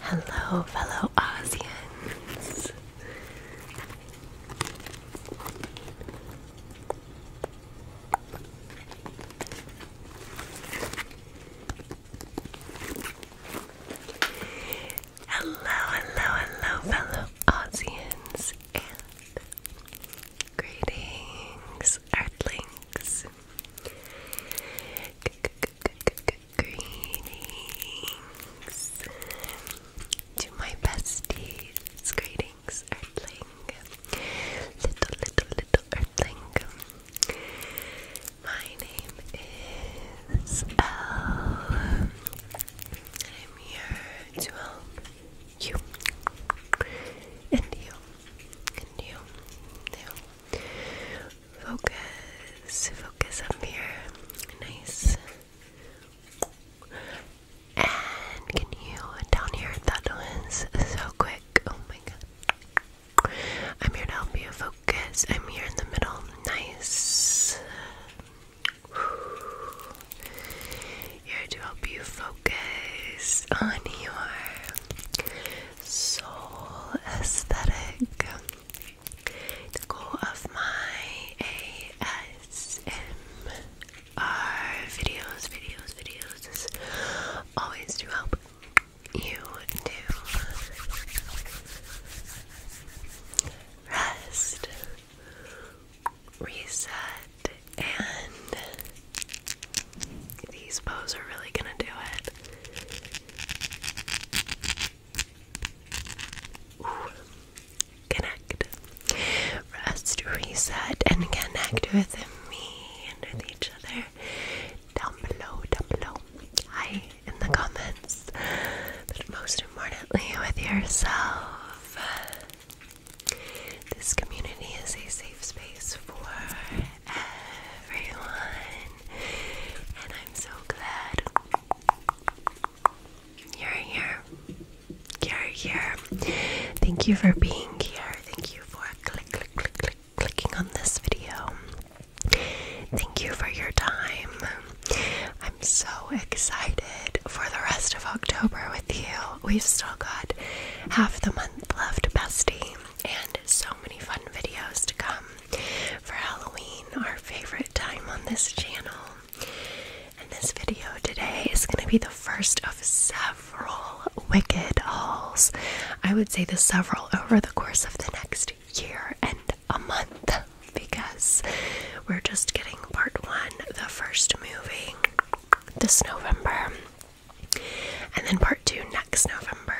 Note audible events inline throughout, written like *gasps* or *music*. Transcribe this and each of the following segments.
Hello, fellow Aussians. Hello, hello, hello, fellow Aussians Greetings, Earthlings. G greetings to my besties. Greetings, Earthling. Little, little, little Earthling. My name is Elle. I'm here to help you and you and you, you. Focus, focus up here. Nice. And can you down here? That was so quick. Oh my god. I'm here to help you focus. I'm here in the middle. Nice. Here to help you focus on your soul aesthetic. The goal of my ASMR videos, videos, videos always to help you do rest reset, and these bows are really gonna do it. Connect, rest, reset, and connect with me and with each other down below, down below. Hi in the comments, but most importantly with yourself. This community is a safe space for everyone, and I'm so glad you're here. You're here. Thank you for being here. Thank you for clicking on this video. Thank you for your time. I'm so excited for the rest of October with you we've still got half the month left, bestie, and so many fun videos to come for Halloween, our favorite time on this channel. And this video today is going to be the first of several wicked hauls. I would say the several over the course of the next year and a month because we're just getting part one, the first movie this November, and then part two next November.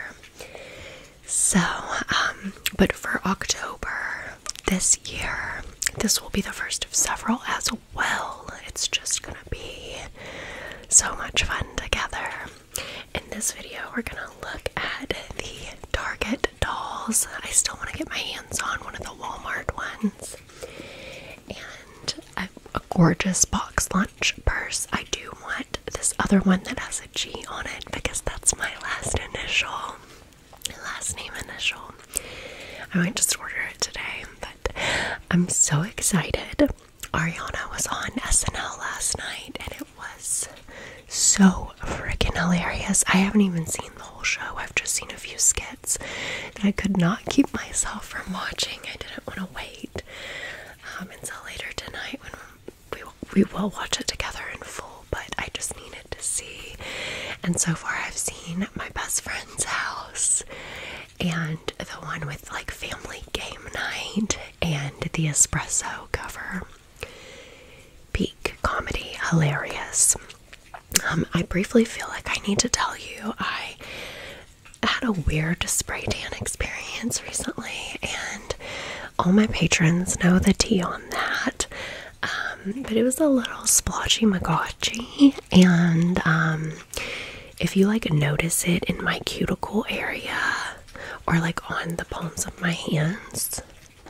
So, um, but for October this year, this will be the first of several as well. It's just gonna be so much fun together. In this video, we're gonna look at the Target dolls. I still want to get my hands on one of the Walmart ones and a, a gorgeous box lunch purse. I do want this other one that has a G on it because that's my last initial, last name initial. I might just order it today, but I'm so excited. Ariana was on SNL last night and it was so freaking hilarious. I haven't even seen the whole show, I've just seen a few skits and I could not keep myself from watching. I didn't want to wait um, until later tonight when we, we will watch it together in full, but I just needed to see. And so far, I've seen my best friend's house and the one with like family game night and the espresso cover. Peak comedy, hilarious. Um, I briefly feel like I need to tell you I had a weird spray tan experience recently, and all my patrons know the tea on that. Um, but it was a little splotchy magotchy, and um, if you like notice it in my cuticle area or like on the palms of my hands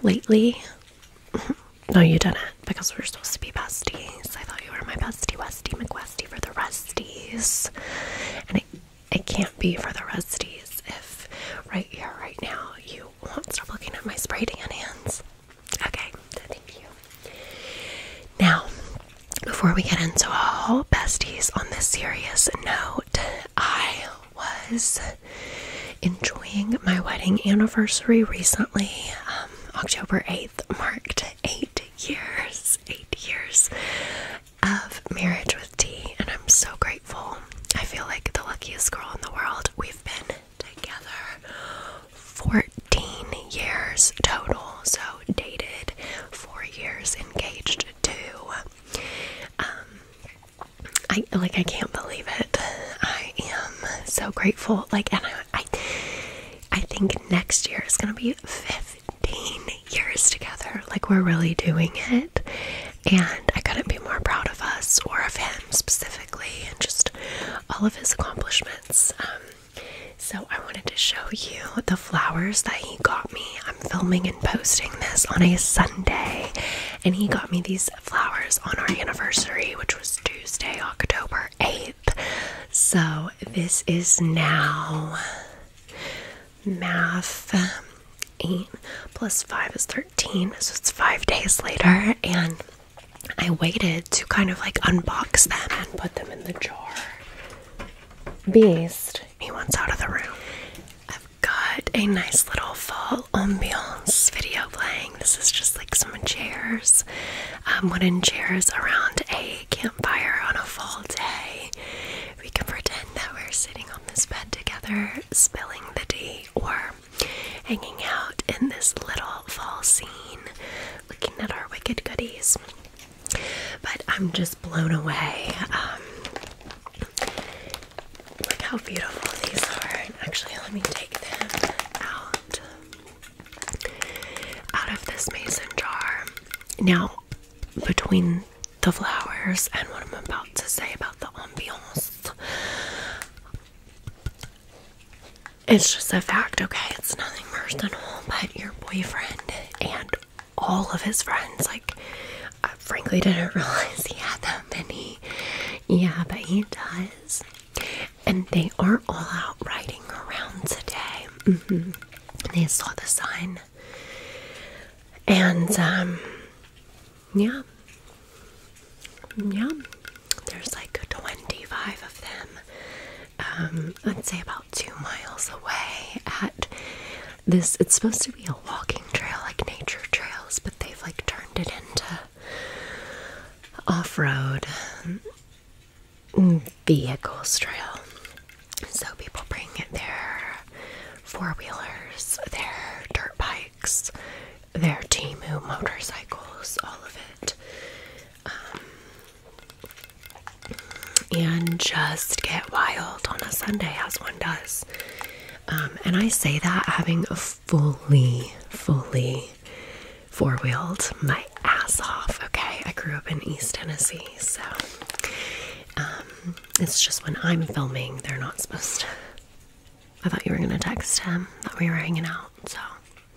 lately, *laughs* no, you didn't because we're supposed to be besties. I thought you were my bestie, Westy McWestie for the resties. And it, it can't be for the resties if right here, right now, you won't stop looking at my spray tan hands. Okay, thank you. Now, before we get into all besties on this serious note, I was enjoying my wedding anniversary recently. Um, October 8th marked eight eight years, eight years of marriage with T, and I'm so grateful. I feel like the luckiest girl in the world. We've been together 14 years total, so dated, four years, engaged, two. Um, I like, I can't believe it. I am so grateful. Like, and I, I I think next year is going to be 15 years together. Like, we're really doing it. And I couldn't be more proud of us or of him specifically and just all of his accomplishments. Um, so, I wanted to show you the flowers that he got me. I'm filming and posting this on a Sunday, and he got me these flowers on our anniversary, which was Tuesday, October 8th. So this is now math 8 plus 5 is 13, so it's five days later, and I waited to kind of like unbox them and put them in the jar. Beast, he wants out of the room. I've got a nice little fall ambiance video playing. This is just like some chairs um, wooden chairs around a campfire on a fall day. We can pretend that we're sitting on this bed together, spilling the tea, or hanging out in this little fall scene, looking at our wicked goodies. But I'm just blown away. Um, look how beautiful these are. Actually, let me take them out out of this mason jar. Now, between the flowers and what I'm about to say about the ambiance, it's just a fact, okay? It's nothing personal, but your boyfriend and all of his friends, like, I frankly didn't *laughs* realize he had that many. Yeah, but he does and they are all out riding around today. Mm-hmm. They saw the sign, and um, yeah, yeah. There's like twenty-five of them. Um, I'd say about two miles away at this. It's supposed to be a walking trail, like nature trails, but they've like turned it into off-road vehicles trail. So people bring their four wheelers, their dirt bikes, their Timu motorcycles, all of it. Um, and just get wild on a Sunday as one does. Um, and I say that having a fully, fully four wheeled my ass off. Okay, I grew up in East Tennessee, so um, it's just when I'm filming, they're not supposed I thought you were gonna text him that we were hanging out, so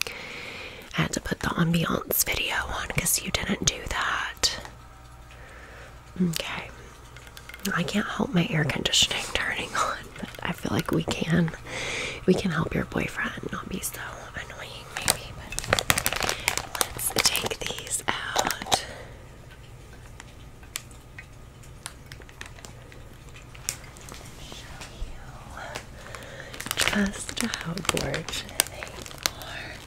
I had to put the ambiance video on because you didn't do that. Okay, I can't help my air conditioning *laughs* turning on, but I feel like we can. We can help your boyfriend not be so annoying let's take these out. Show you just how gorgeous they are.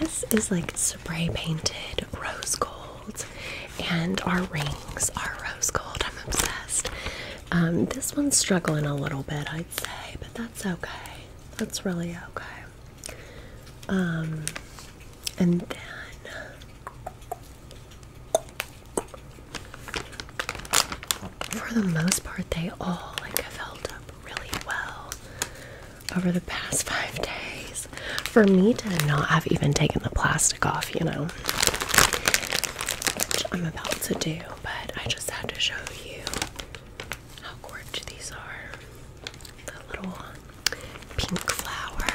This is like spray painted rose gold and our rings are rose gold. I'm obsessed. Um, this one's struggling a little bit, I'd say, but that's okay. That's really okay. Um, and then for the most part, they all like have held up really well over the past *laughs* five days. For me to not have even taken the plastic off, you know, which I'm about to do, but I just had to show you how gorgeous these are. The little pink flower.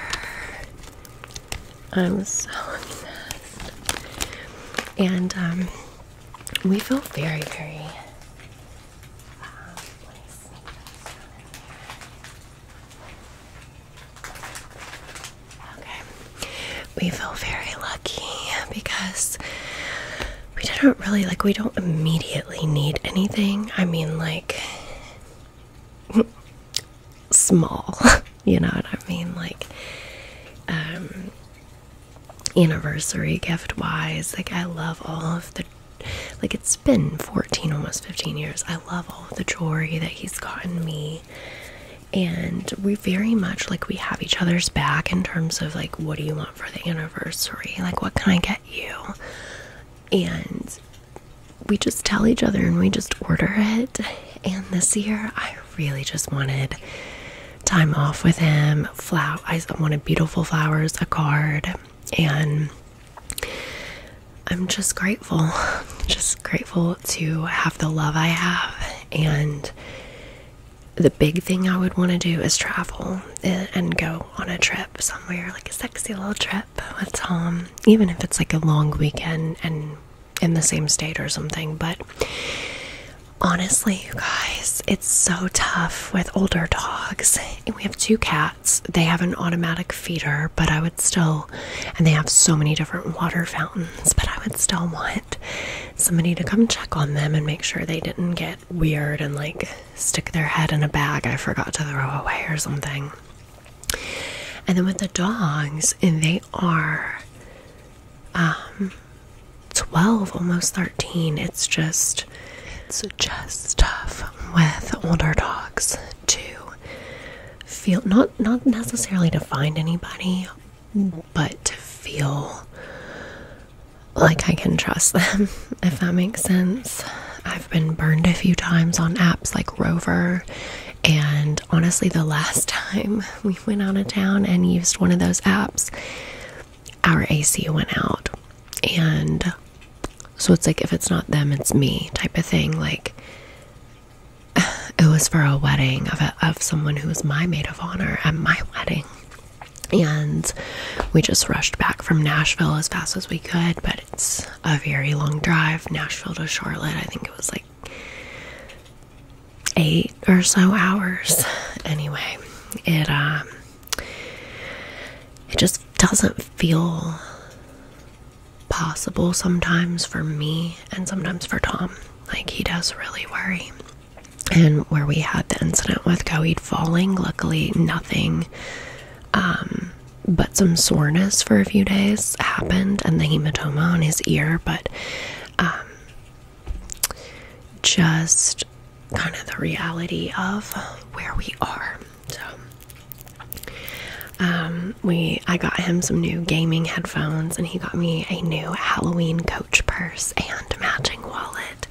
I'm so obsessed. And um, we feel very, very. Um, Okay. We feel very lucky because we do not really like we don't immediately need anything. I mean like small, *laughs* you know what I mean? Like um anniversary gift wise, like I love all of the like it's been 14 almost 15 years. I love all of the jewelry that he's gotten me and we very much like we have each other's back in terms of like what do you want for the anniversary like what can i get you and we just tell each other and we just order it and this year i really just wanted time off with him flower i wanted beautiful flowers a card and I'm just grateful, *laughs* just grateful to have the love I have. And the big thing I would want to do is travel and go on a trip somewhere, like a sexy little trip with Tom, um, even if it's like a long weekend and in the same state or something. But honestly, you guys, it's so tough with older dogs. we have two cats, they have an automatic feeder, but I would still, and they have so many different water fountains but I would still want somebody to come check on them and make sure they didn't get weird and like stick their head in a bag I forgot to throw away or something. And then with the dogs, and they are um 12 almost 13 it's just it's just tough with older dogs to feel not not necessarily to find anybody, but to feel like I can trust them, *laughs* if that makes sense. I've been burned a few times on apps like Rover, and honestly, the last *laughs* time we went out of town and used one of those apps, our AC went out, and so it's like if it's not them, it's me type of thing. Like, *sighs* it was for a wedding of, someone who was my maid of honor at my wedding. And we just rushed back from Nashville as fast as we could, but it's a very long drive. Nashville to Charlotte, I think it was like eight or so hours. Anyway, it um it just doesn't feel possible sometimes for me and sometimes for Tom. Like, he does really worry. And where we had the incident with Coheed falling, luckily, nothing um, but some soreness for a few days happened and the hematoma on his ear, but um, just kind of the reality of where we are. Um, we I got him some new gaming headphones, and he got me a new Halloween coach purse and matching wallet.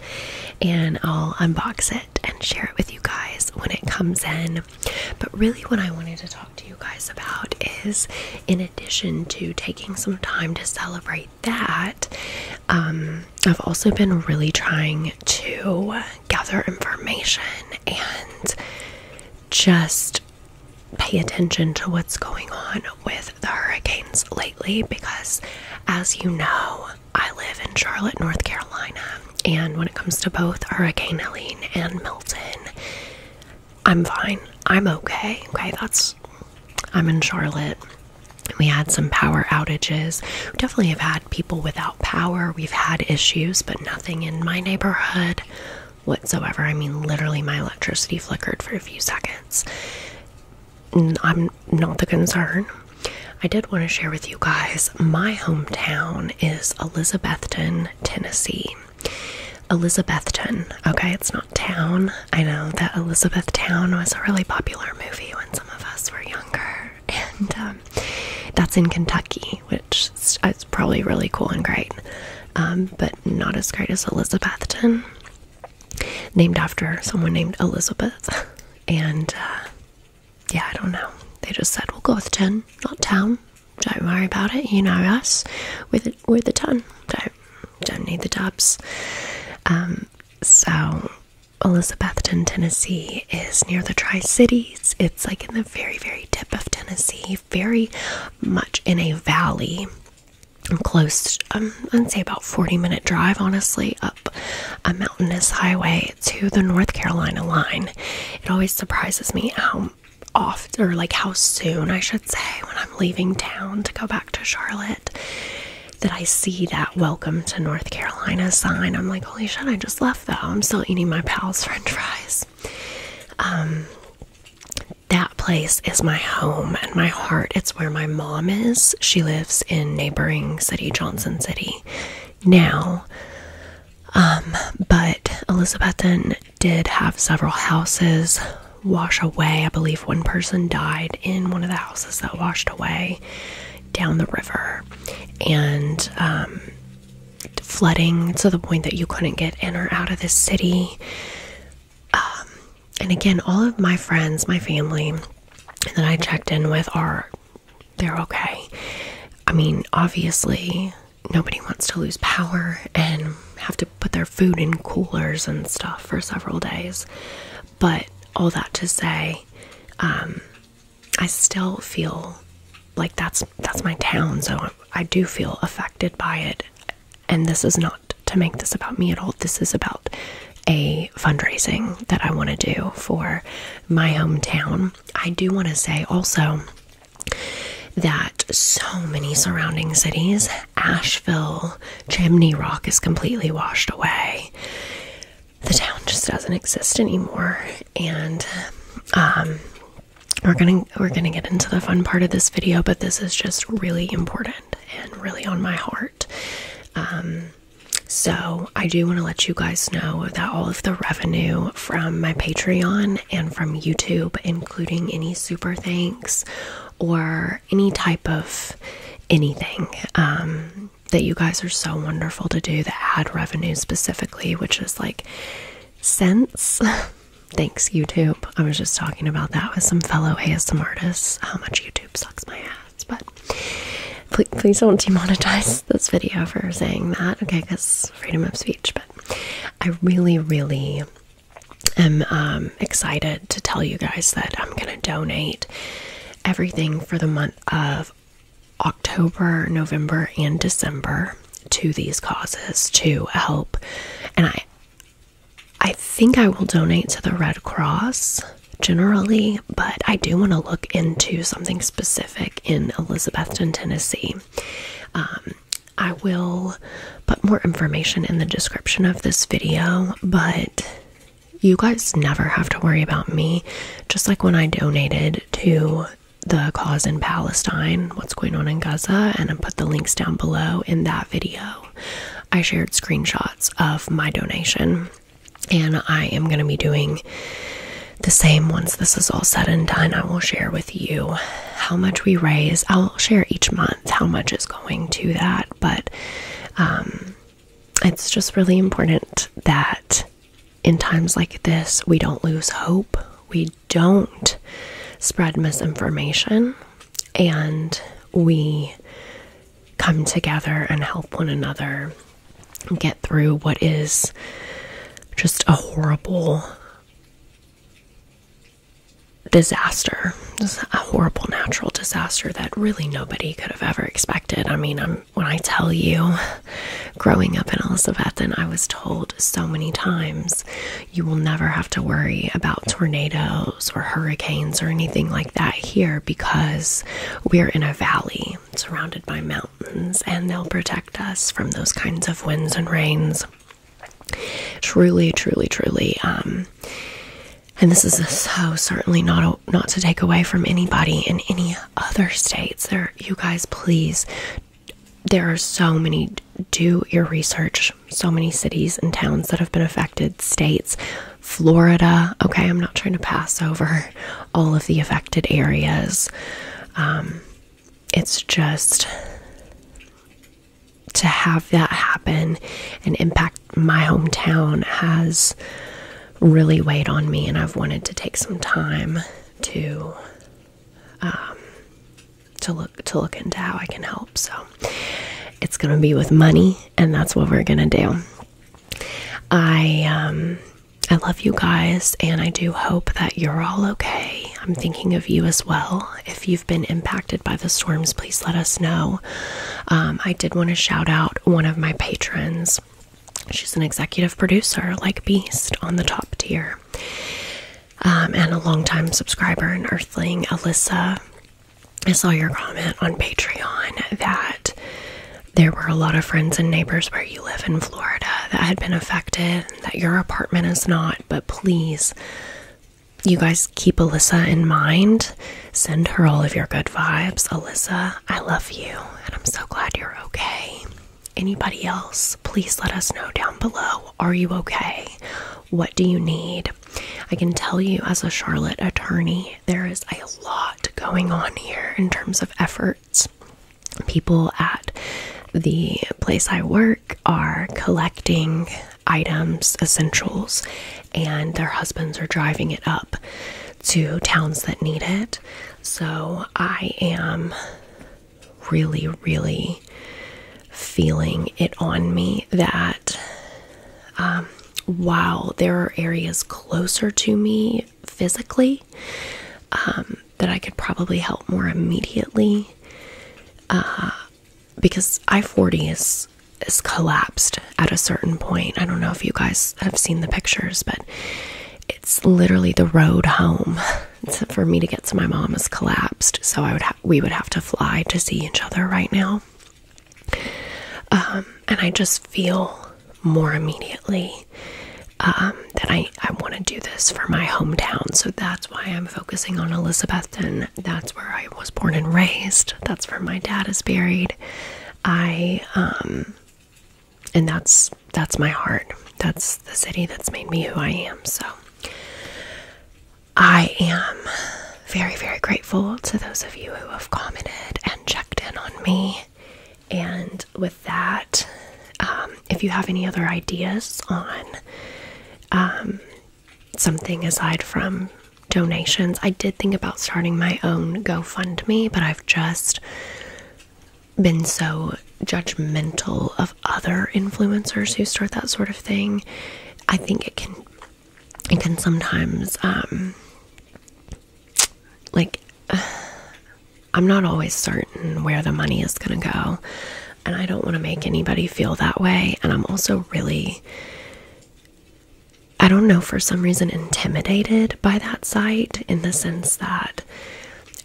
And I'll unbox it and share it with you guys when it comes in. But really, what I wanted to talk to you guys about is, in addition to taking some time to celebrate that, um, I've also been really trying to gather information and just pay attention to what's going on with the hurricanes lately because, as you know, I live in Charlotte, North Carolina, and when it comes to both Hurricane Helene and Milton, I'm fine. I'm okay. Okay, that's. I'm in Charlotte. We had some power outages. We definitely have had people without power. We've had issues, but nothing in my neighborhood whatsoever. I mean, literally, my electricity flickered for a few seconds. I'm not the concern. I did want to share with you guys my hometown is Elizabethton, Tennessee. Elizabethton, okay, it's not town. I know that Elizabethtown was a really popular movie when some of us were younger, *laughs* and um, that's in Kentucky which is, probably really cool and great, um, but not as great as Elizabethton, named after someone named Elizabeth. *laughs* And uh, yeah, I don't know. They just said, we'll go with 10, not town. Don't worry about it. You know us. We're the, we're the ton. Don't, don't need the dubs. Um, so, Elizabethton, Tennessee is near the Tri Cities. It's like in the very, very tip of Tennessee very much in a valley close um, i'd say about 40 minute drive honestly up a mountainous highway to the north carolina line it always surprises me how oft or like how soon i should say when i'm leaving town to go back to charlotte that i see that welcome to north carolina sign i'm like holy shit i just left though i'm still eating my pal's french fries um, that place is my home and my heart. It's where my mom is. She lives in neighboring city, Johnson City, now. Um, but Elizabethan did have several houses wash away. I believe one person died in one of the houses that washed away down the river. And um, flooding to the point that you couldn't get in or out of this city. Um, and again, all of my friends, my family that I checked in with are they're okay. I mean, obviously, nobody wants to lose power and have to put their food in coolers and stuff for several days. But all that to say, um, I still feel like that's that's my town, so I do feel affected by it and this is not to make this about me at all, this is about a fundraising that I want to do for my hometown. I do want to say also that so many surrounding cities, Asheville, Chimney Rock is completely washed away. The town just doesn't exist anymore. And um, we're gonna we're gonna get into the fun part of this video, but this is just really important and really on my heart. Um, so I do want to let you guys know that all of the revenue from my Patreon and from YouTube, including any super thanks or any type of anything, um, that you guys are so wonderful to do, the ad revenue specifically, which is like cents. *laughs* Thanks, YouTube. I was just talking about that with some fellow ASM artists, how much YouTube sucks my ass. But please, don't demonetize this video for saying that, okay? Because freedom of speech. But I really, really am um, excited to tell you guys that I'm going to donate everything for the month of October, November, and December to these causes to help. And I I think I will donate to the Red Cross generally, but I do want to look into something specific in Elizabethton, Tennessee. Um, I will put more information in the description of this video, but you guys never have to worry about me. Just like when I donated to the cause in Palestine, what's going on in Gaza, and I put the links down below in that video. I shared screenshots of my donation, and I am going to be doing the same once this is all said and done. I will share with you how much we raise. I'll share each month how much is going to that, but um, it's just really important that in times like this, we don't lose hope. We don't spread misinformation and we come together and help one another get through what is just a horrible disaster just a horrible natural disaster that really nobody could have ever expected i mean when i tell you growing up in elizabethan i was told so many times you will never have to worry about tornadoes or hurricanes or anything like that here because we're in a valley surrounded by mountains and they'll protect us from those kinds of winds and rains. Truly, truly, truly. Um, and this is so certainly not not to take away from anybody in any other states. There, you guys, please there are so many do your research so many cities and towns that have been affected states florida okay i'm not trying to pass over all of the affected areas um, it's just to have that happen and impact my hometown has really weighed on me and i've wanted to take some time to um, to look to look into how I can help. So it's gonna be with money, and that's what we're gonna do. I um I love you guys, and I do hope that you're all okay. I'm thinking of you as well. If you've been impacted by the storms, please let us know. Um, I did want to shout out one of my patrons. She's an executive producer, like Beast, on the top tier. Um, and a longtime subscriber and earthling, Alyssa. I saw your comment on Patreon that there were a lot of friends and neighbors where you live in Florida that had been affected, that your apartment is not, but please, you guys keep Alyssa in mind. Send her all of your good vibes. Alyssa, I love you, and I'm so glad you're okay. Anybody else? please let us know down below. Are you okay? What do you need? I can tell you, as a Charlotte attorney, there is a lot going on here in terms of efforts. People at the place I work are collecting items, essentials, and their husbands are driving it up to towns that need it. So I am really, really feeling it on me that um, while there are areas closer to me physically um, that I could probably help more immediately, uh, because I 40 is is collapsed at a certain point. I don't know if you guys have seen the pictures, but it's literally the road home *laughs* for me to get to my mom is collapsed. So I would have we would have to fly to see each other right now. Um, and I just feel more immediately um, that I, I want to do this for my hometown. So that's why I'm focusing on Elizabethton. That's where I was born and raised. That's where my dad is buried. I, um, and that's, that's my heart. That's the city that's made me who I am. So I am very, very grateful to those of you who have commented and checked in on me. And with that, um, if you have any other ideas on um, something aside from donations, I did think about starting my own GoFundMe, but I've just been so judgmental of other influencers who start that sort of thing, I think it can it can sometimes um like *sighs* I'm not always certain where the money is going to go and I don't want to make anybody feel that way and I'm also really I don't know for some reason intimidated by that site in the sense that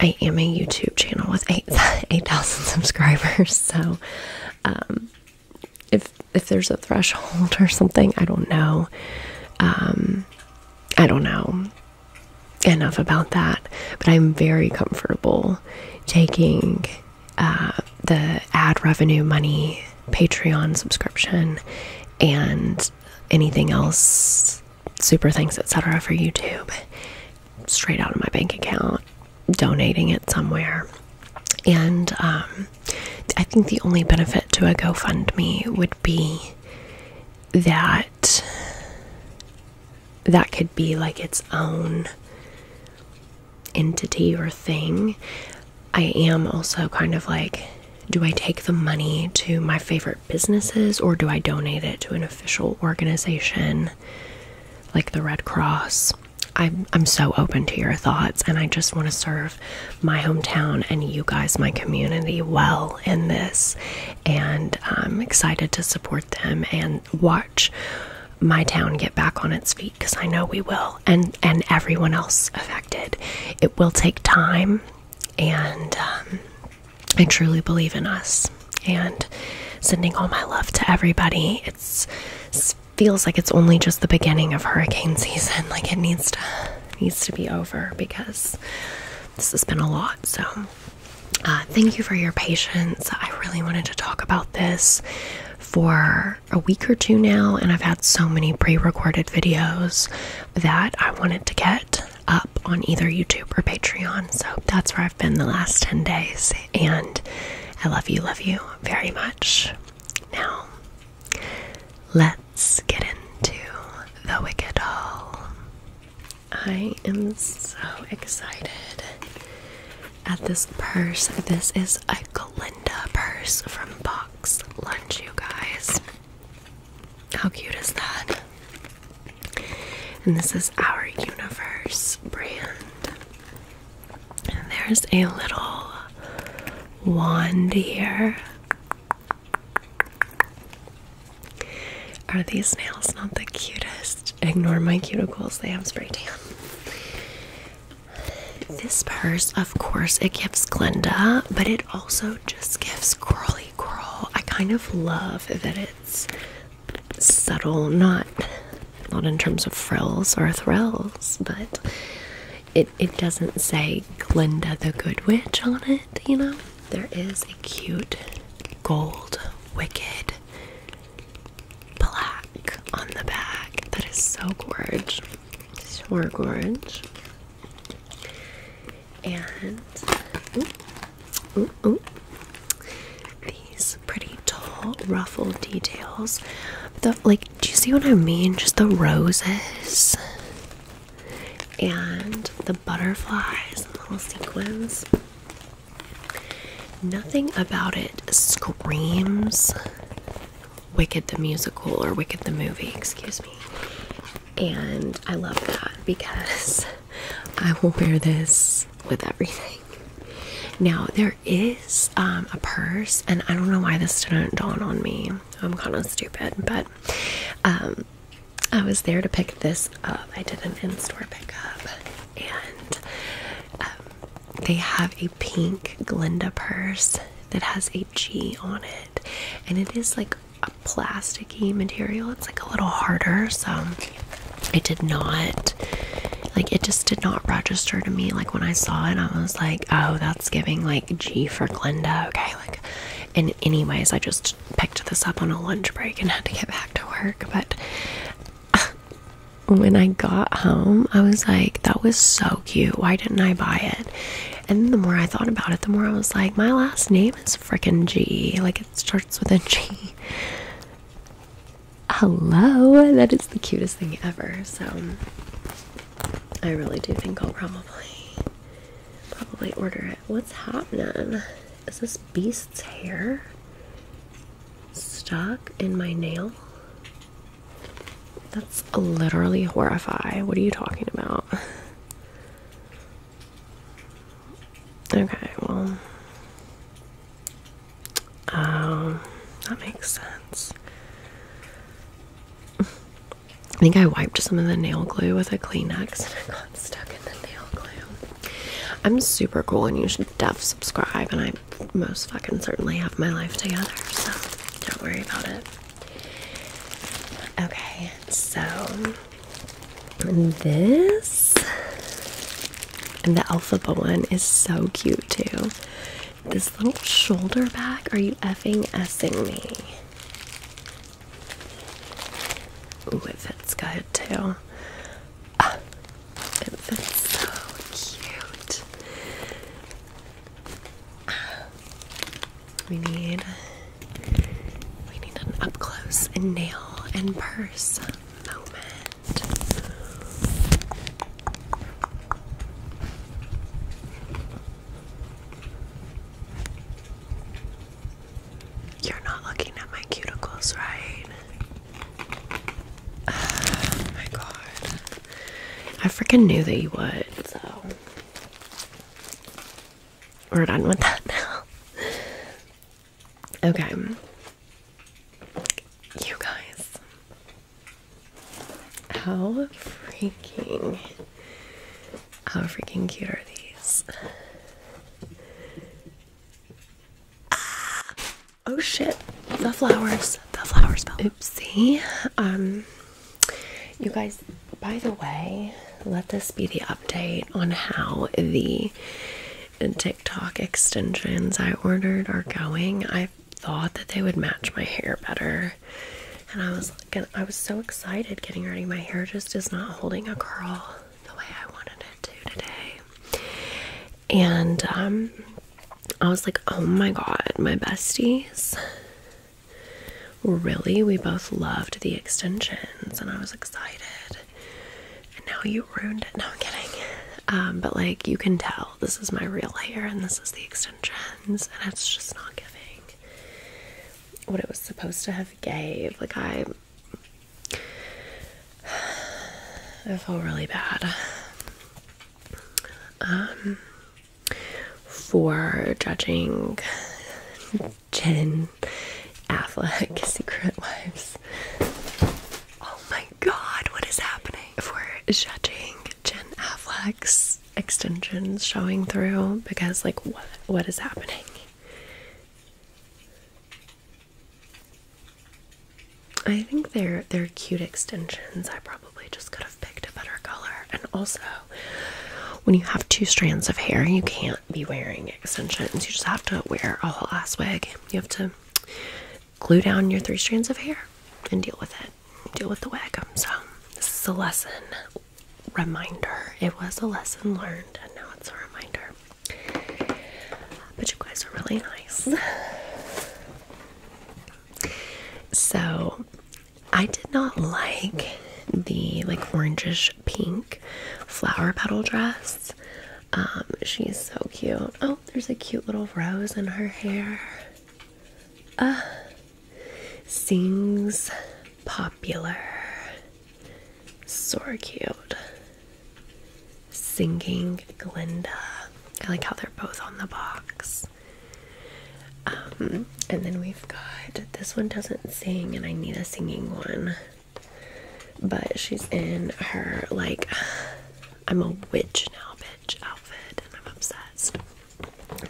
I am a YouTube channel with 8,000 8, *laughs* *laughs* subscribers so um, if if there's a threshold *laughs* or something i don't know um, i don't know enough about that but i'm very comfortable taking uh, the ad revenue money patreon subscription and anything else super thanks etc for youtube straight out of my bank account, donating it somewhere. And um, I think the only benefit to a GoFundMe would be that that could be like its own entity or thing. I am also kind of like, do I take the money to my favorite businesses or do I donate it to an official organization like the Red Cross? I'm I'm so open to your thoughts and I just want to serve my hometown and you guys my community well in this and I'm excited to support them and watch my town get back on its feet cuz I know we will and and everyone else affected. It will take time and um, I truly believe in us and sending all my love to everybody. It's, it feels like it's only just the beginning of hurricane season. *laughs* Like it needs to needs to be over because this has been a lot. So uh, thank you for your patience. I really wanted to talk about this for a week or two now, and I've had so many pre-recorded videos that I wanted to get up on either YouTube or Patreon. So that's where I been the last 10 days, and I love you, love you very much. Now, let's get into The Wicked Doll. I am so excited at this purse. This is a Glinda purse from Box Lunch, you guys. How cute is that? And this is Our Universe brand. And there's a little wand here. Are these nails not the cutest? Ignore my cuticles, they have spray tan. This purse, of course, it gives Glinda, but it also just gives Curly Curl. I kind of love that it's subtle, not not in terms of frills or thrills, but it it doesn't say Glinda the Good Witch on it, you know? There is a cute gold wicked black on the back. That is so gorge. So gorge. And these pretty tall ruffled details. The like, do you see what I mean? Just the roses and the butterflies little sequins. Nothing about it screams Wicked the Musical or Wicked the Movie, excuse me. And I love that because *laughs* I will wear this with everything. Now there is um, a purse, and I don't know why this didn't dawn on me. I'm kind of stupid, but um, I was there to pick this up. I did an in-store pickup, and um, they have a pink Glinda purse that has a G on it, and it is like a plasticky material. It's like a little harder, so it did not like it just did not register to me like when I saw it I was like oh that's giving like G for Glenda." okay like and anyways I just picked this up on a lunch break and had to get back to work but when I got home I was like that was so cute why didn't I buy it and the more I thought about it the more I was like my last name is freaking G like it starts with a G hello that is the cutest thing ever so i really do think i'll probably probably order it what's happening is this beast's hair stuck in my nail that's literally horrifying what are you talking about *laughs* okay well um, that makes sense. I think I wiped some of the nail glue with a Kleenex and I got stuck in the nail glue. I'm super cool and you should def subscribe and I most fucking certainly have my life together, so don't worry about it. Okay, so this and the Alphaba one is so cute too. This little shoulder bag, are you effing essing me? Ooh, it fits good too. Ah, it fits so cute. Ah, we need we need an up close and nail and purse. You're not looking at my cuticles, right? Oh *sighs* my god. I freaking knew that you would, so. We're done with that now. *laughs* Okay. You guys, how freaking, how freaking cute are these? Ah! oh shit, the flowers, the flowers fell. Oopsie. Um, you guys, by the way, let this be the update on how the TikTok extensions I ordered are going. I thought that they would match my hair better. And I was like, I was so excited getting ready. My hair just is not holding a curl the way I wanted it to today. And um, I was like, oh my god, my besties. Really, we both loved the extensions, and I was excited and now you ruined it. No, I'm kidding. Um, but like you can tell this is my real hair and this is the extensions and it's just not giving what it was supposed to have gave. Like I I feel really bad. Um for judging Jen Affleck *laughs* Secret Lives. Oh my god, what is happening? if we're judging Jen Affleck's extensions showing through, because like what what is happening? I think they're they're cute extensions. I probably just could have picked a better color. And also, when you have two strands of hair, you can't be wearing extensions. You just have to wear a whole ass wig. You have to glue down your three strands of hair and deal with it. Deal with the wig. So this is a lesson reminder. It was a lesson learned and now it's a reminder. But you guys are really nice. So I did not like the like orangish pink flower petal dress. Um, she's so cute. Oh, there's a cute little rose in her hair. Ah, sings popular. So cute. Singing Glinda. I like how they're both on the box. Um, and then we've got this one doesn't sing, and I need a singing one. But she's in her like I'm a witch now, bitch outfit, and I'm obsessed.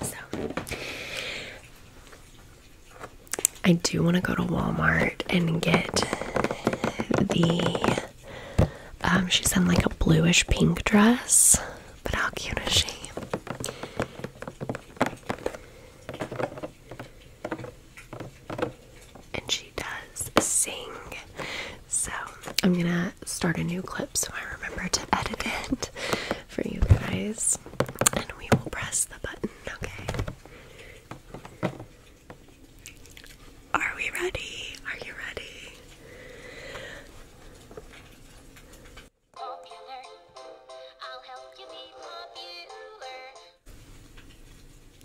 So, I do want to go to Walmart and get the. Um, she's in like a bluish pink dress, but how cute is she? And does sing. So I'm gonna start a new clip so I remember to edit it for you guys. And we will press the button, okay? Are we ready? Are you ready?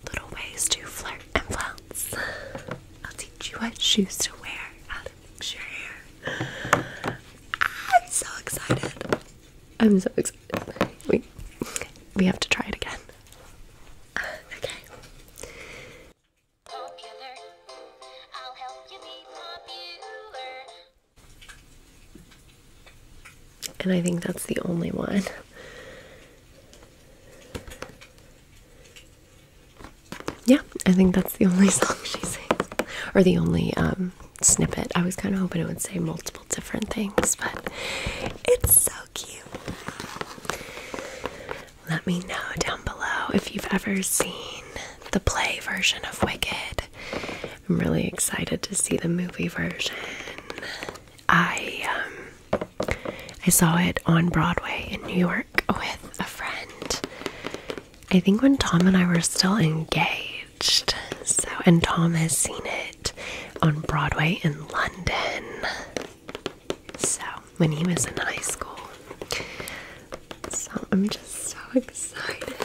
little ways to flirt and flounce. I'll teach you what shoes to wear, I'm so excited. I'm so excited. We, we have to try it again. Uh, okay. And I think that's the only one yeah, I think that's the only *laughs* song she sings, or the only um, snippet. I was kind of hoping it would say multiple different things, but it's so cute. Let me know down below if you've ever seen the play version of Wicked. I'm really excited to see the movie version. I um, I saw it on Broadway in New York with a friend. I think when Tom and I were still engaged. So, and Tom has seen it on Broadway in London. So, when he was in high school. So, I'm just so excited.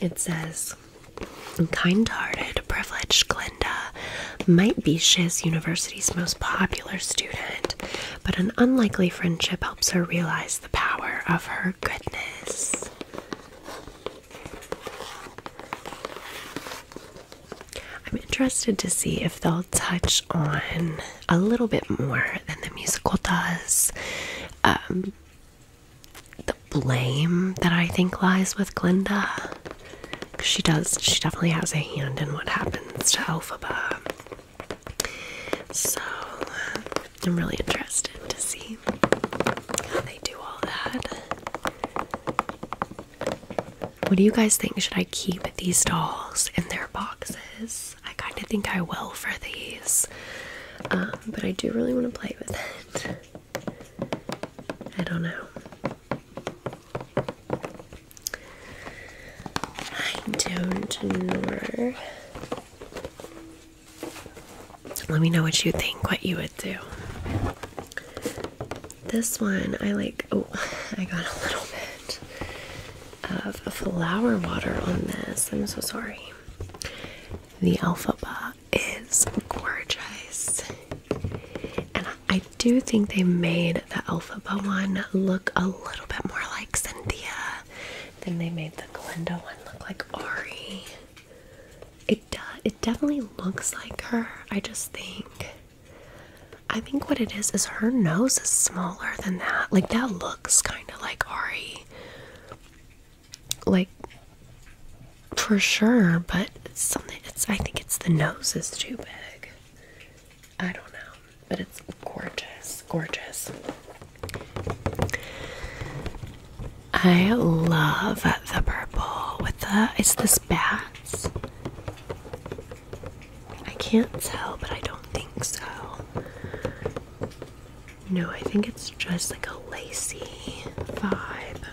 It says, kind hearted, privileged Glinda might be Shiz University's most popular student but an unlikely friendship helps her realize the power of her goodness. I'm interested to see if they'll touch on a little bit more than the musical does. Um, the blame that I think lies with Glinda. She does, she definitely has a hand in what happens to Elphaba. So uh, I'm really interested to see how they do all that. What do you guys think? Should I keep these dolls in their boxes? I kind of think I will for these, um, but I do really want to play with it. I don't know. I don't know. Let me know what you think, what you would do. This one, I like. Oh, *laughs* I got a little bit of flower water on this. I'm so sorry. The Alphaba is gorgeous. And I I do think they made the Elphaba one look a little bit more like Cynthia than they made the Glinda one look like Ori. It does. It definitely looks like her. I just think. I think what it is is her nose is smaller than that. Like that looks kind of like Ori. Like for sure, but it's something. It's. I think it's the nose is too big. I don't know, but it's gorgeous, gorgeous. I love the purple with the it's this bats. I can't tell, but I don't think so. No, I think it's just like a lacy vibe.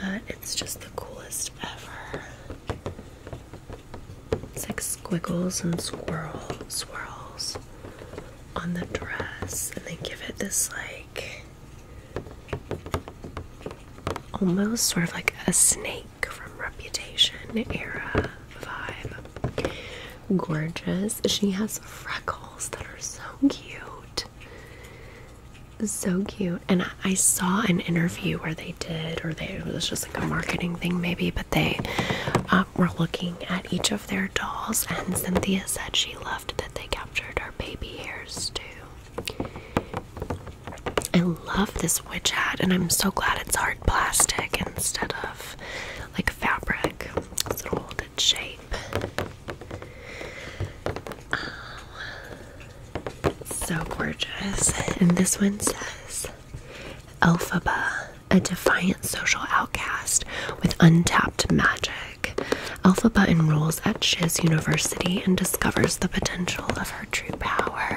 But it's just the coolest ever. It's like squiggles and swirl swirls on the dress, and they give it this like almost sort of like a snake from Reputation era vibe. Gorgeous. She has freckles that are so cute so cute and i saw an interview where they did or they it was just like a marketing thing maybe but they um, were looking at each of their dolls and cynthia said she loved that they captured her baby hairs too i love this witch hat and i'm so glad it's hard plastic instead of like fabric so it'll shape um, so gorgeous. And this one says Elphaba, a defiant social outcast with untapped magic. Elphaba enrolls at Shiz University and discovers the potential of her true power.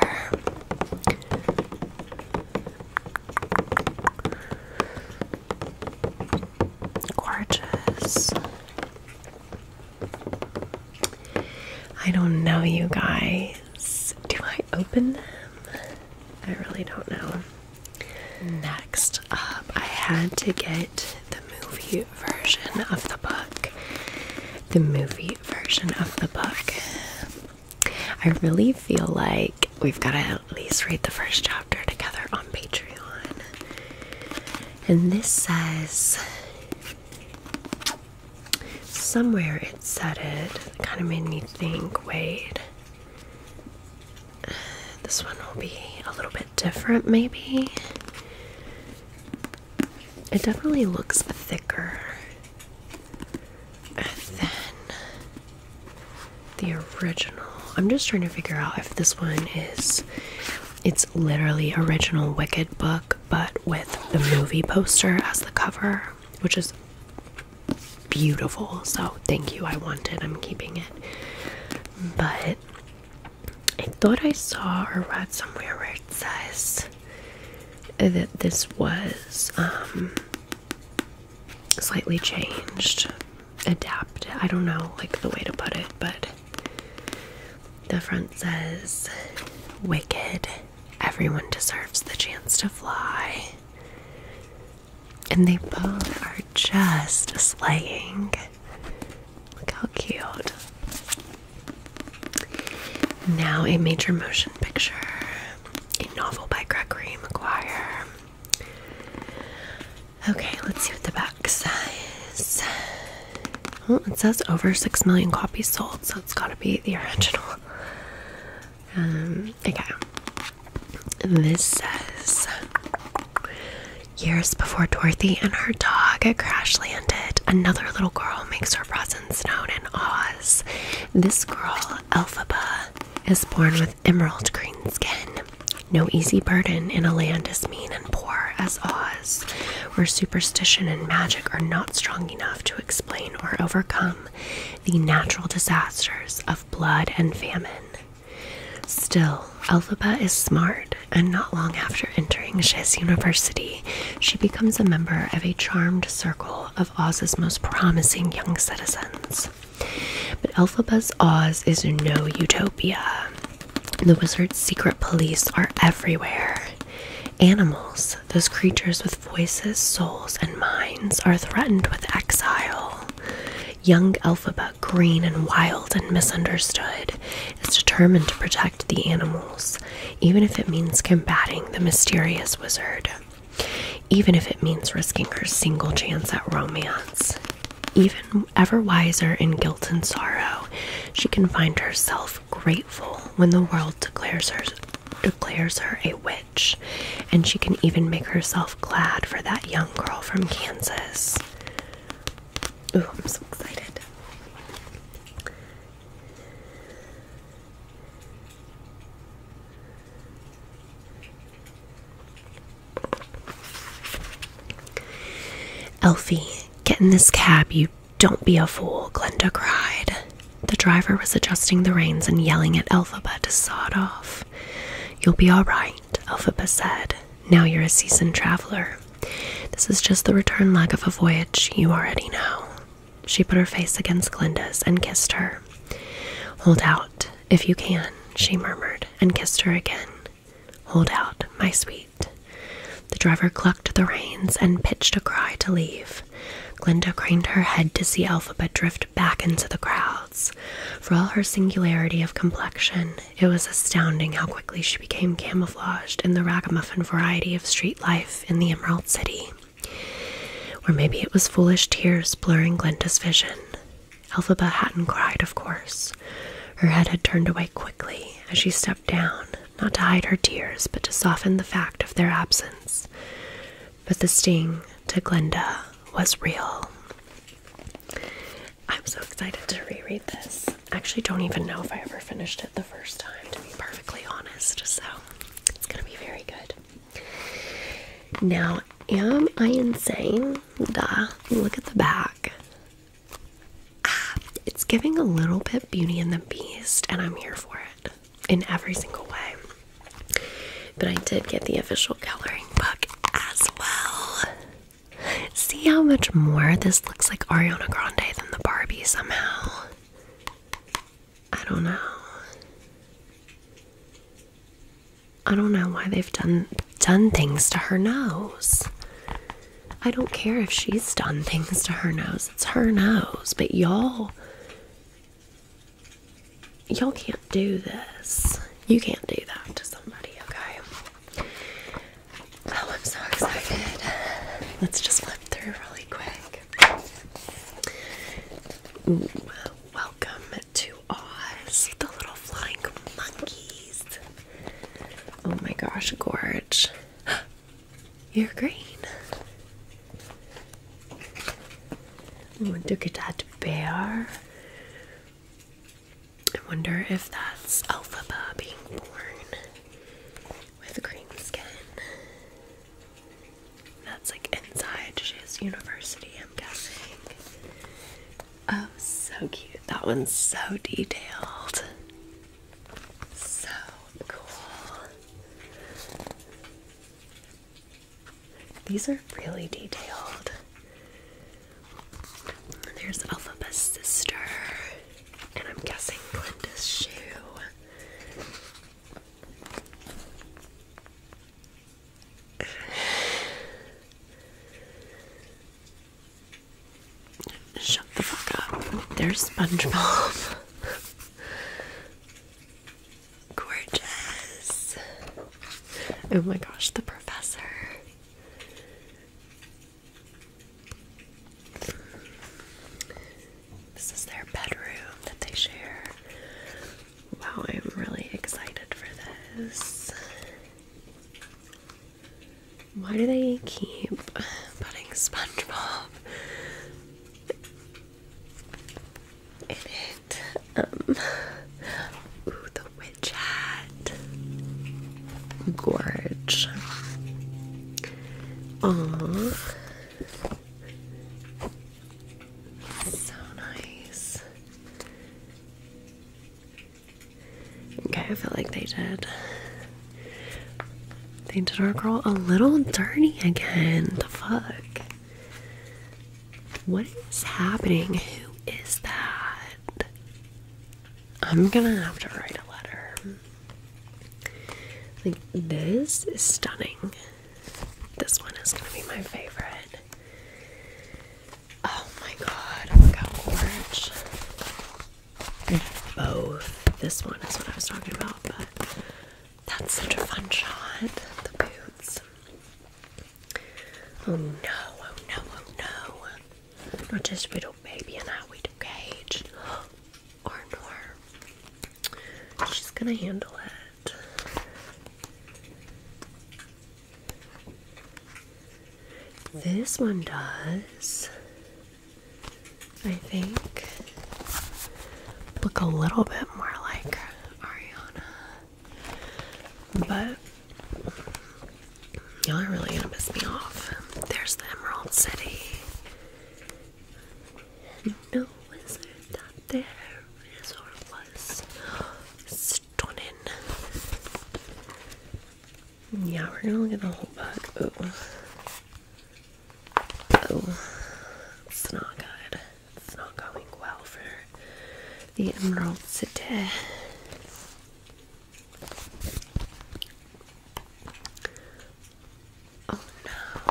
Gorgeous. I don't know, you guys. Do I open them? I really don't know. Next up, I had to get the movie version of the book. The movie version of the book. I really feel like we've got to at least read the first chapter together on Patreon. And this says somewhere it said it. kind of made me think wait, this one will be a little bit different, maybe. It definitely looks thicker than the original. I'm just trying to figure out if this one is it's literally original Wicked book, but with the movie poster as the cover, which is beautiful. So thank you. I wanted. I'm keeping it. But I thought I saw or read somewhere where it says that this was um slightly changed, adapted. I don't know like the way to put it, but the front says, Wicked, everyone deserves the chance to fly. And they both are just slaying. Look how cute. Now, a major motion picture, a novel by Gregory McGuire. Okay, let's see what the back says it says over six million copies sold, so it's got to be the original. Um, okay. This says years before Dorothy and her dog crash landed, another little girl makes her presence known in Oz. This girl, Elphaba, is born with emerald green skin. No easy burden in a land as mean and poor as Oz, where superstition and magic are not strong enough to explain or overcome the natural disasters of blood and famine. Still, Elphaba is smart, and not long after entering Shiz University, she becomes a member of a charmed circle of Oz's most promising young citizens. But Elphaba's Oz is no utopia. The wizard's secret police are everywhere. Animals, those creatures with voices, souls, and minds, are threatened with exile. Young Elphaba, green and wild and misunderstood, is determined to protect the animals, even if it means combating the mysterious wizard, even if it means risking her single chance at romance. Even ever wiser in guilt and sorrow, she can find herself grateful when the world declares her declares her a witch, and she can even make herself glad for that young girl from Kansas. Ooh, I'm so excited. Elfie, get in this cab, you don't be a fool, Glinda cried. The driver was adjusting the reins and yelling at Elphaba to sod off. You'll be all right, Elphaba said. Now you're a seasoned traveler. This is just the return leg of a voyage you already know. She put her face against Glinda's and kissed her. Hold out, if you can, she murmured, and kissed her again. Hold out, my sweet, the driver clucked the reins and pitched a cry to leave. Glinda craned her head to see Alphabet drift back into the crowds. For all her singularity of complexion, it was astounding how quickly she became camouflaged in the ragamuffin variety of street life in the Emerald City. Or maybe it was foolish tears blurring Glinda's vision. Elphaba hadn't cried, of course. Her head had turned away quickly as she stepped down, not to hide her tears, but to soften the fact of their absence. But the sting to Glinda was real. I'm so excited to reread this. actually don't even know if I ever finished it the first time, to be perfectly honest, so it's gonna be very good. Now, am I insane? Duh. Look at the back. Ah, it's giving a little bit Beauty and the Beast, and I'm here for it in every single way. But I did get the official coloring book as well. See how much more this looks like Ariana Grande than the Barbie somehow. I don't know. I don't know why they've done done things to her nose. I don't care if she's done things to her nose. It's her nose. But y'all y'all can't do this. You can't do that to somebody, okay? Oh, I'm so excited. Let's just flip through really quick. welcome to Oz, the little flying monkeys. Oh my gosh, gorge. You're green. Wonder could that bear? I wonder if that's Elphaba being born with green skin. That's like inside his university, I'm guessing. Oh, so cute. That one's so detailed. So cool. These are really detailed. There's Alphaba's sister, and I'm guessing Glinda's shoe. Shut the fuck up. There's SpongeBob. *laughs* Gorgeous. Oh my gosh, the professor. This is their bedroom that they share. Wow, I'm really excited for this. Why do they keep putting SpongeBob in it. Um, ooh, the witch hat. Gorge. Aww. So nice. Okay, I feel like they did they did our girl a little dirty again. The fuck? What is happening? Who is that? I'm gonna have to write a letter. Like, this is stunning. This one is gonna be my favorite. Oh my god, look how gorgeous both. This one is what I was talking about, but that's such a fun shot. The boots. Oh no, oh no, oh no. Not just little baby and I, we do Cage. Or Norm. She's gonna handle it. This one does. I think look a little bit more like Ariana, but y'all are really gonna piss me off. There's the Emerald City. No wizard out there is or was stunning. Yeah, we're gonna look at the whole book. Oh, it's not good. It's not going well for the emeralds today. Oh no.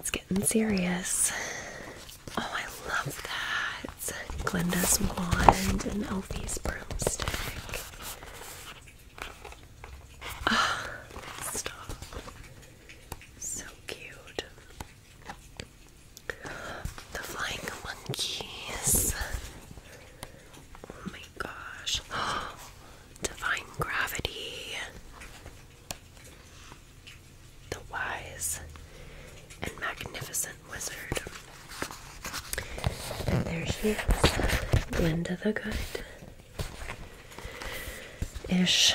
It's getting serious. Oh, I love that. It's Glinda's wand and Elfie's broomstick. Ah, stop. So cute. The flying monkeys. Oh my gosh. *gasps* divine gravity. The wise and magnificent wizard. there she is, Glinda the Good. Ish.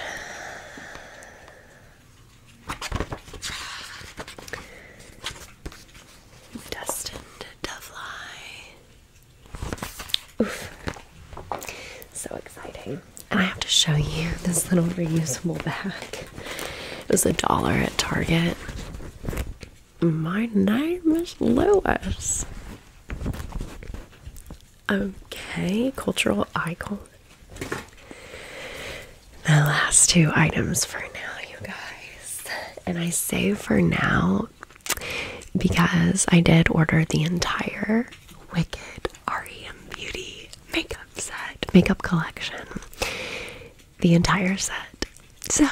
Destined Oof. So exciting. And I have to show you this little reusable bag. It was a dollar at Target. My name is Lewis. Okay, cultural icon. The last two items for now, you guys. And I say for now because I did order the entire Wicked REM Beauty makeup set, makeup collection the entire set. So,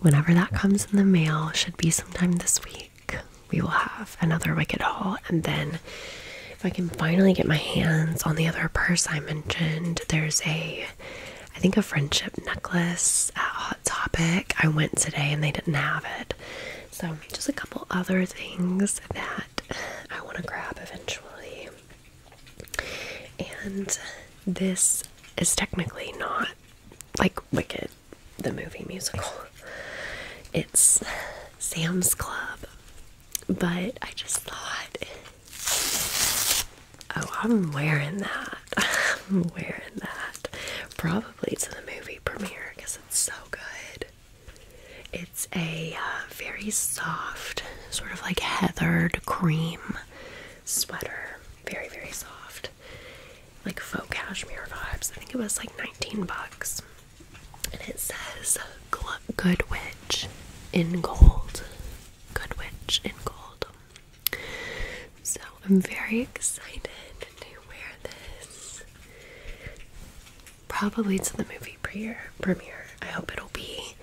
whenever that comes in the mail, should be sometime this week, we will have another Wicked haul. And then, if I can finally get my hands on the other purse I mentioned, there's a, I think, a friendship necklace at Hot Topic. I went today and they didn't have it. So, just a couple other things that I want to grab eventually. And this is technically not like Wicked, the movie musical. It's Sam's Club. But I just thought, oh, I'm wearing that. *laughs* I'm wearing that. Probably to the movie premiere because it's so good. It's a uh, very soft, sort of like heathered cream sweater, very very soft, like faux cashmere vibes. I think it was like 19 bucks, and it says "Good Witch" in gold. Good Witch in gold. So I'm very excited to wear this. Probably to the movie premiere. Premiere. I hope it'll be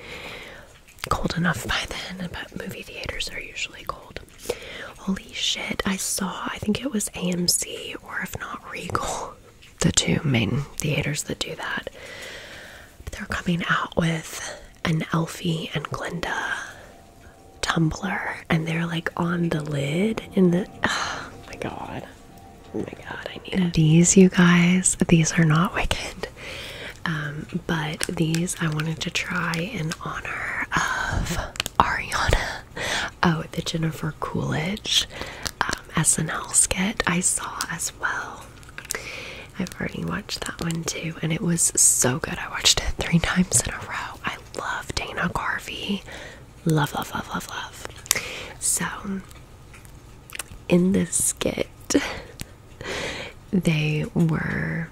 cold enough by then, but movie theaters are usually cold. Holy shit, I saw, I think it was AMC or if not Regal, *laughs* the two main theaters that do that. they're coming out with an Elfie and Glinda tumbler and they're like on the lid in the. *sighs* Oh my god. Oh my god, I need These, you guys, these are not Wicked. Um, but these I wanted to try in honor of Ariana. Oh, the Jennifer Coolidge um, SNL skit I saw as well. I've already watched that one too, and it was so good. I watched it three *laughs* times in a row. I love Dana Garvey. Love, love, love, love, love. So, in this skit, they were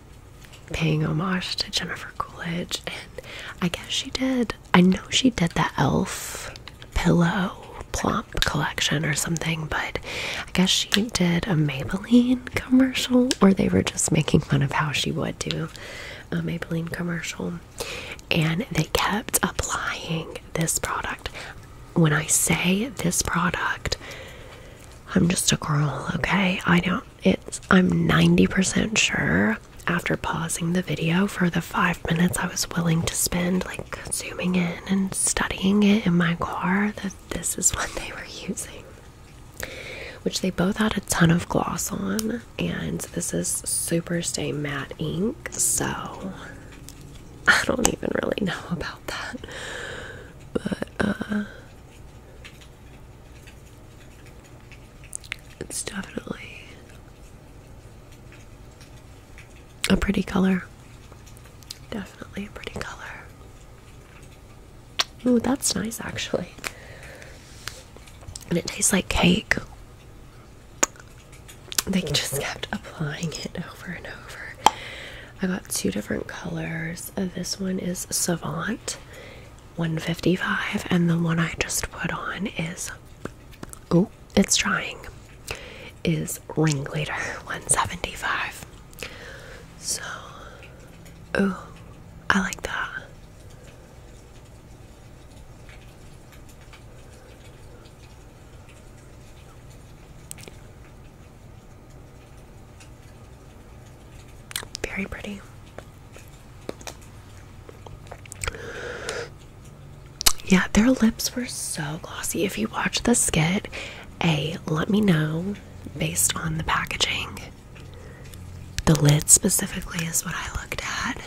paying homage to Jennifer Coolidge, and I guess she did. I know she did the Elf pillow plump collection or something, but I guess she did a Maybelline commercial, or they were just making fun of how she would do a Maybelline commercial. And they kept applying this product. When I say this product, I'm just a girl, okay? I don't, it's, I'm 90% sure after pausing the video for the five minutes I was willing to spend, like zooming in and studying it in my car, that this is *laughs* what they were using. Which they both had a ton of gloss on, and this is Super Stay Matte Ink, so I don't even really know about that. But uh, it's definitely a pretty color. Definitely a pretty color. Ooh, that's nice actually. And it tastes like cake. They just mm-hmm. kept applying it over and over. I got two different colors. Uh, this one is Savant 155, and the one I just put on is oh, it's trying is Ringleader 175. So, oh, I like that. Very pretty. Yeah, their lips were so glossy. If you watch the skit, A, let me know based on the packaging. The lid specifically is what I looked at.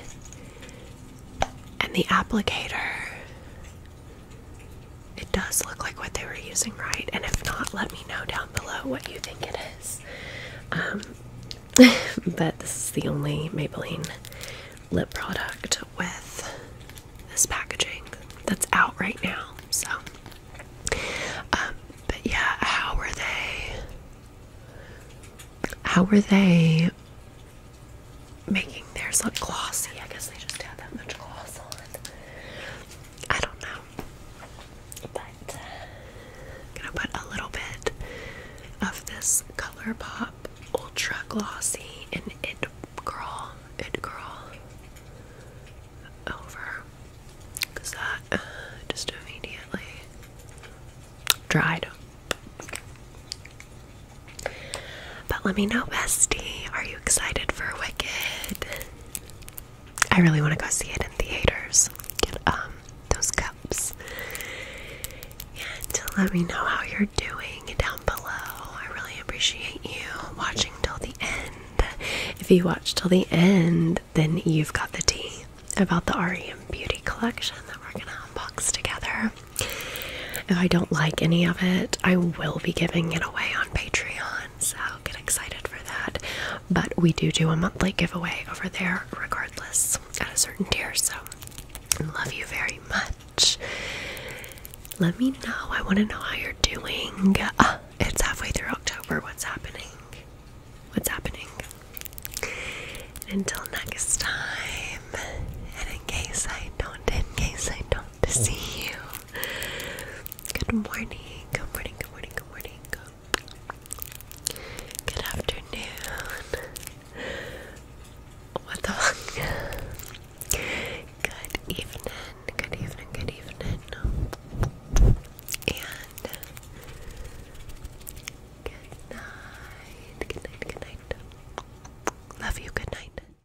And the applicator. It does look like what they were using, right? And if not, let me know down below what you think it is. Um, *laughs* but this is the only Maybelline lip product with this packaging that's out right now. So, um, but yeah, how were they? How were they making theirs look glossy? I guess they just had that much gloss on. I don't know. But uh, gonna put a little bit of this Color Ultra Glossy in It Girl, It Girl over. that uh, just immediately dried. But let me know, bestie. Are you excited for Wicked? I really want to go see it in theaters. Get um those cups. And let me know how you're doing down below. I really appreciate you watching till the end. If you watch till the end, then you've got the tea about the REM Beauty collection that we're gonna unbox together. If I don't like any of it, I will be giving it away on Patreon. So get excited for that. But we do do a monthly giveaway over there, regardless, at a certain tier. So, love you very much. Let me know. I want to know how you're doing. Ah, it's halfway through October. What's happening? What's happening? Until next time, and in case I don't, in case I don't see you, Good morning. Good morning. Good morning. Good morning. Good afternoon. What the Good evening. Good evening. Good evening. And good night. Good night. Good night. Love you. Good night.